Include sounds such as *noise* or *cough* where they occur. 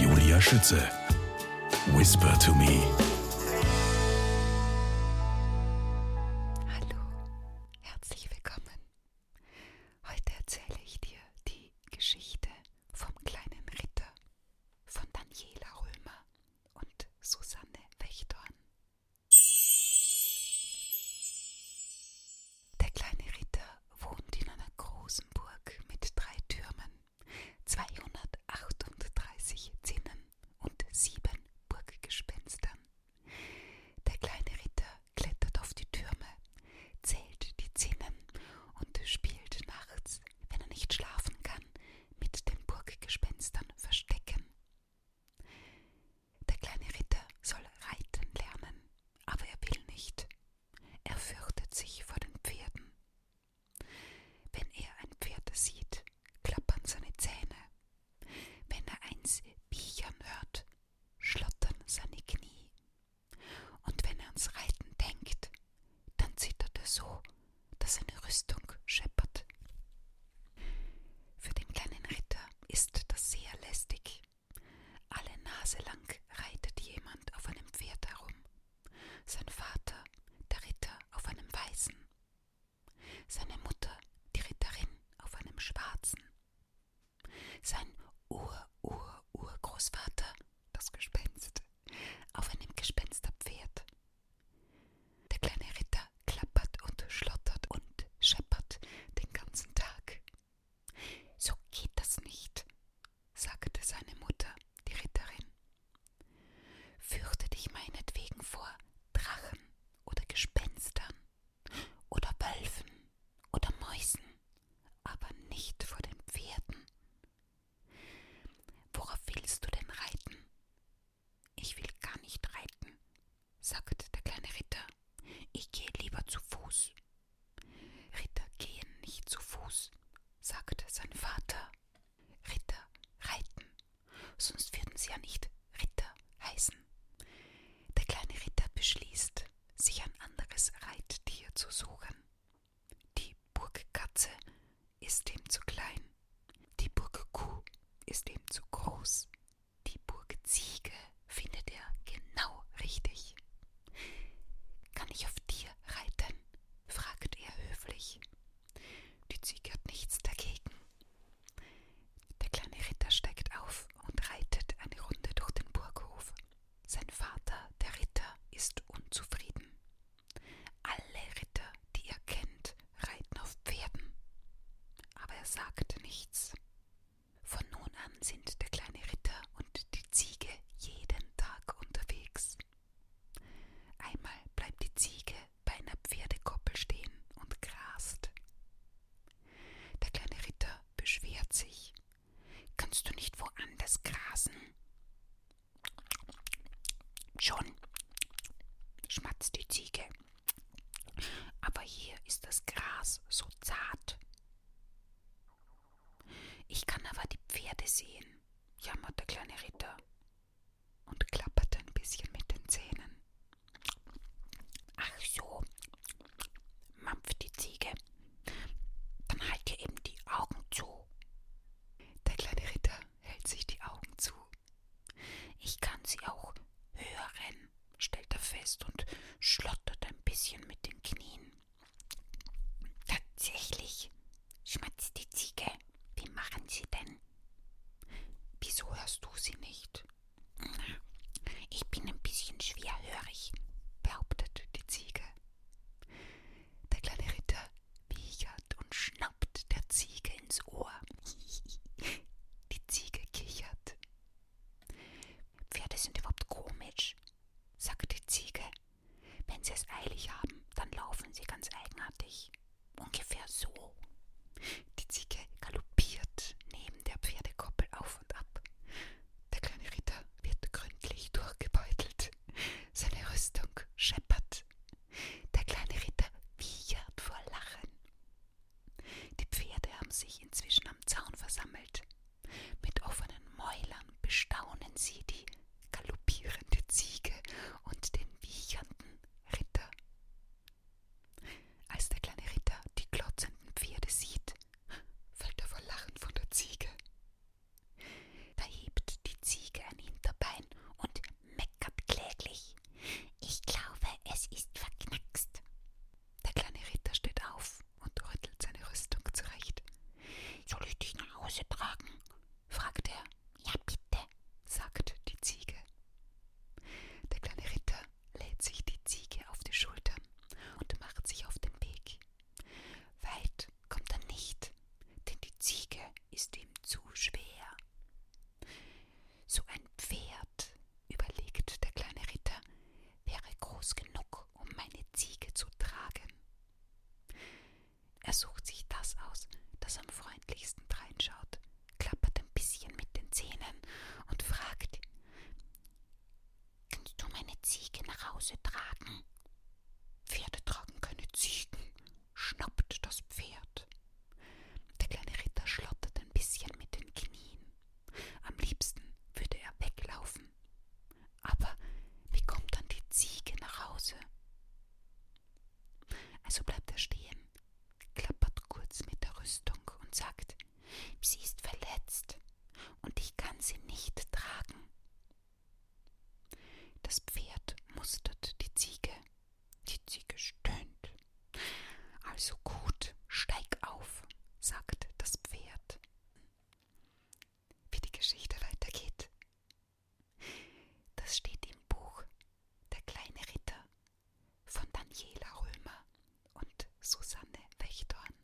Julia Schütze. Whisper to me. Hallo, herzlich willkommen. Heute erzähle ich dir die Geschichte vom kleinen Ritter von Daniela Römer und Susanne Wächtorn. Der kleine Ritter wohnt in einer großen Burg mit drei Türmen, 238 Zinnen und sieben Burggespenstern. Der kleine Ritter klettert auf die Türme, zählt die Zinnen und spielt nachts, wenn er nicht schlafen kann, mit den Burggespenstern verstecken. Der kleine Ritter soll reiten lernen, aber er will nicht. Er fürchtet sich vor den Pferden. Wenn er ein Pferd sieht, klappern seine Zähne. Wenn er eins wiechern hört, schlottern seine Knie. Und wenn er ans Reiten denkt, dann zittert er so, dass seine Rüstung scheppert. Für den kleinen Ritter ist das sehr lästig. Alle Nase lang reitet jemand auf einem Pferd herum. Sein Vater, der Ritter, auf einem weißen. Seine Mutter, die Ritterin, auf einem schwarzen. Sein Ur-Ur-Urgroßvater, das Gespenst, auf einem Gespensterpferd. Der kleine Ritter klappert und schlottert und scheppert den ganzen Tag. So geht das nicht, sagte seine Mutter, die Ritterin. Fürchte dich meinetwegen vor Drachen oder Gespenstern oder Wölfen oder Mäusen, aber nicht vor den Pferden. Worauf willst du denn reiten? Ich will gar nicht reiten, sagte der kleine Ritter, ich gehe lieber zu Fuß. Ritter gehen nicht zu Fuß, sagte sein Vater. Ritter reiten, sonst würden sie ja nicht Ritter heißen. Der kleine Ritter beschließt, sich ein anderes Reittier zu suchen. Die Burgkatze ist ihm zu klein, die Burgkuh ist ihm zu groß, die Burg Ziege findet er genau richtig. Kann ich auf dir reiten? fragt er höflich. Die Ziege hat nichts dagegen. Der kleine Ritter steigt auf und reitet eine Runde durch den Burghof. Sein Vater, der Ritter, ist unzufrieden. Alle Ritter, die er kennt, Reiten auf Pferden. Aber er sagte nichts. Von nun an sind der kleine Ritter und die Ziege jeden Tag unterwegs. Einmal bleibt die Ziege bei einer Pferdekoppel stehen und grast. Der kleine Ritter beschwert sich. Kannst du nicht woanders grasen? Schon, schmatzt die Ziege. Aber hier ist das Gras so zart. Ich kann aber die Pferde sehen, jammert der kleine Ritter und klapperte ein bisschen mit den Zähnen. Ach so, mampft die Ziege. Dann halt dir eben die Augen zu. Der kleine Ritter hält sich die Augen zu ich kann sie auch hören, stellte er fest und schlottert ein bisschen mit den Knien. Tatsächlich, schmatzt die Ziege. Wie machen sie denn? Wieso hörst du sie nicht? Ich bin ein bisschen schwerhörig, behauptete die Ziege. Der kleine Ritter wiechert und schnappt der Ziege ins Ohr. *laughs* Die Ziege kichert. Pferde sind überhaupt komisch, sagt die Ziege. Wenn sie es eilig haben, dann laufen sie ganz eigenartig. Ungefähr so. Die Ziege galoppiert neben der Pferdekoppel auf und ab. Der kleine Ritter wird gründlich durchgebeutelt. Seine Rüstung scheppert. Schwanz. Der kleine Ritter wiehert vor Lachen. Die Pferde haben sich inzwischen am Zaun versammelt. Mit offenen Mäulern bestaunen sie die galoppierende Ziege und den wiechernden Ritter. Als der kleine Ritter die glotzenden Pferde sieht, fällt er vor Lachen von der Ziege. Da hebt die Ziege ein Hinterbein und meckert kläglich. Ich glaube, es ist verknackst. Der kleine Ritter steht auf und rüttelt seine Rüstung zurecht. Soll ich dich nach Hause tragen? fragt er. Ja, bitte, sagt die Ziege. Der kleine Ritter lädt sich die Ziege auf die Schultern und macht sich auf den Weg. Weit kommt er nicht, denn die Ziege ist ihm zu schwer. So ein Pferd, überlegt der kleine Ritter, wäre groß genug, um meine Ziege zu tragen. Er sucht sich das aus, das am freundlichsten dreinschaut, klappert ein bisschen mit den Zähnen und fragt Kannst du meine Ziege nach Hause tragen? Pferde tragen keine Ziegen, schnappt das Pferd. Der kleine Ritter schlottert ein bisschen mit den Knien. Am liebsten würde er weglaufen. Aber wie kommt dann die Ziege nach Hause? Also bleibt er stehen, klappert kurz mit der Rüstung und sagt, sie ist verletzt und ich kann sie nicht tragen. Das Pferd mustert die Ziege. Die Ziege stöhnt. Also gut, steig auf, sagt das Pferd. Wie die Geschichte weitergeht, das steht im Buch Der kleine Ritter von Daniela Römer und Susanne Wächtorn.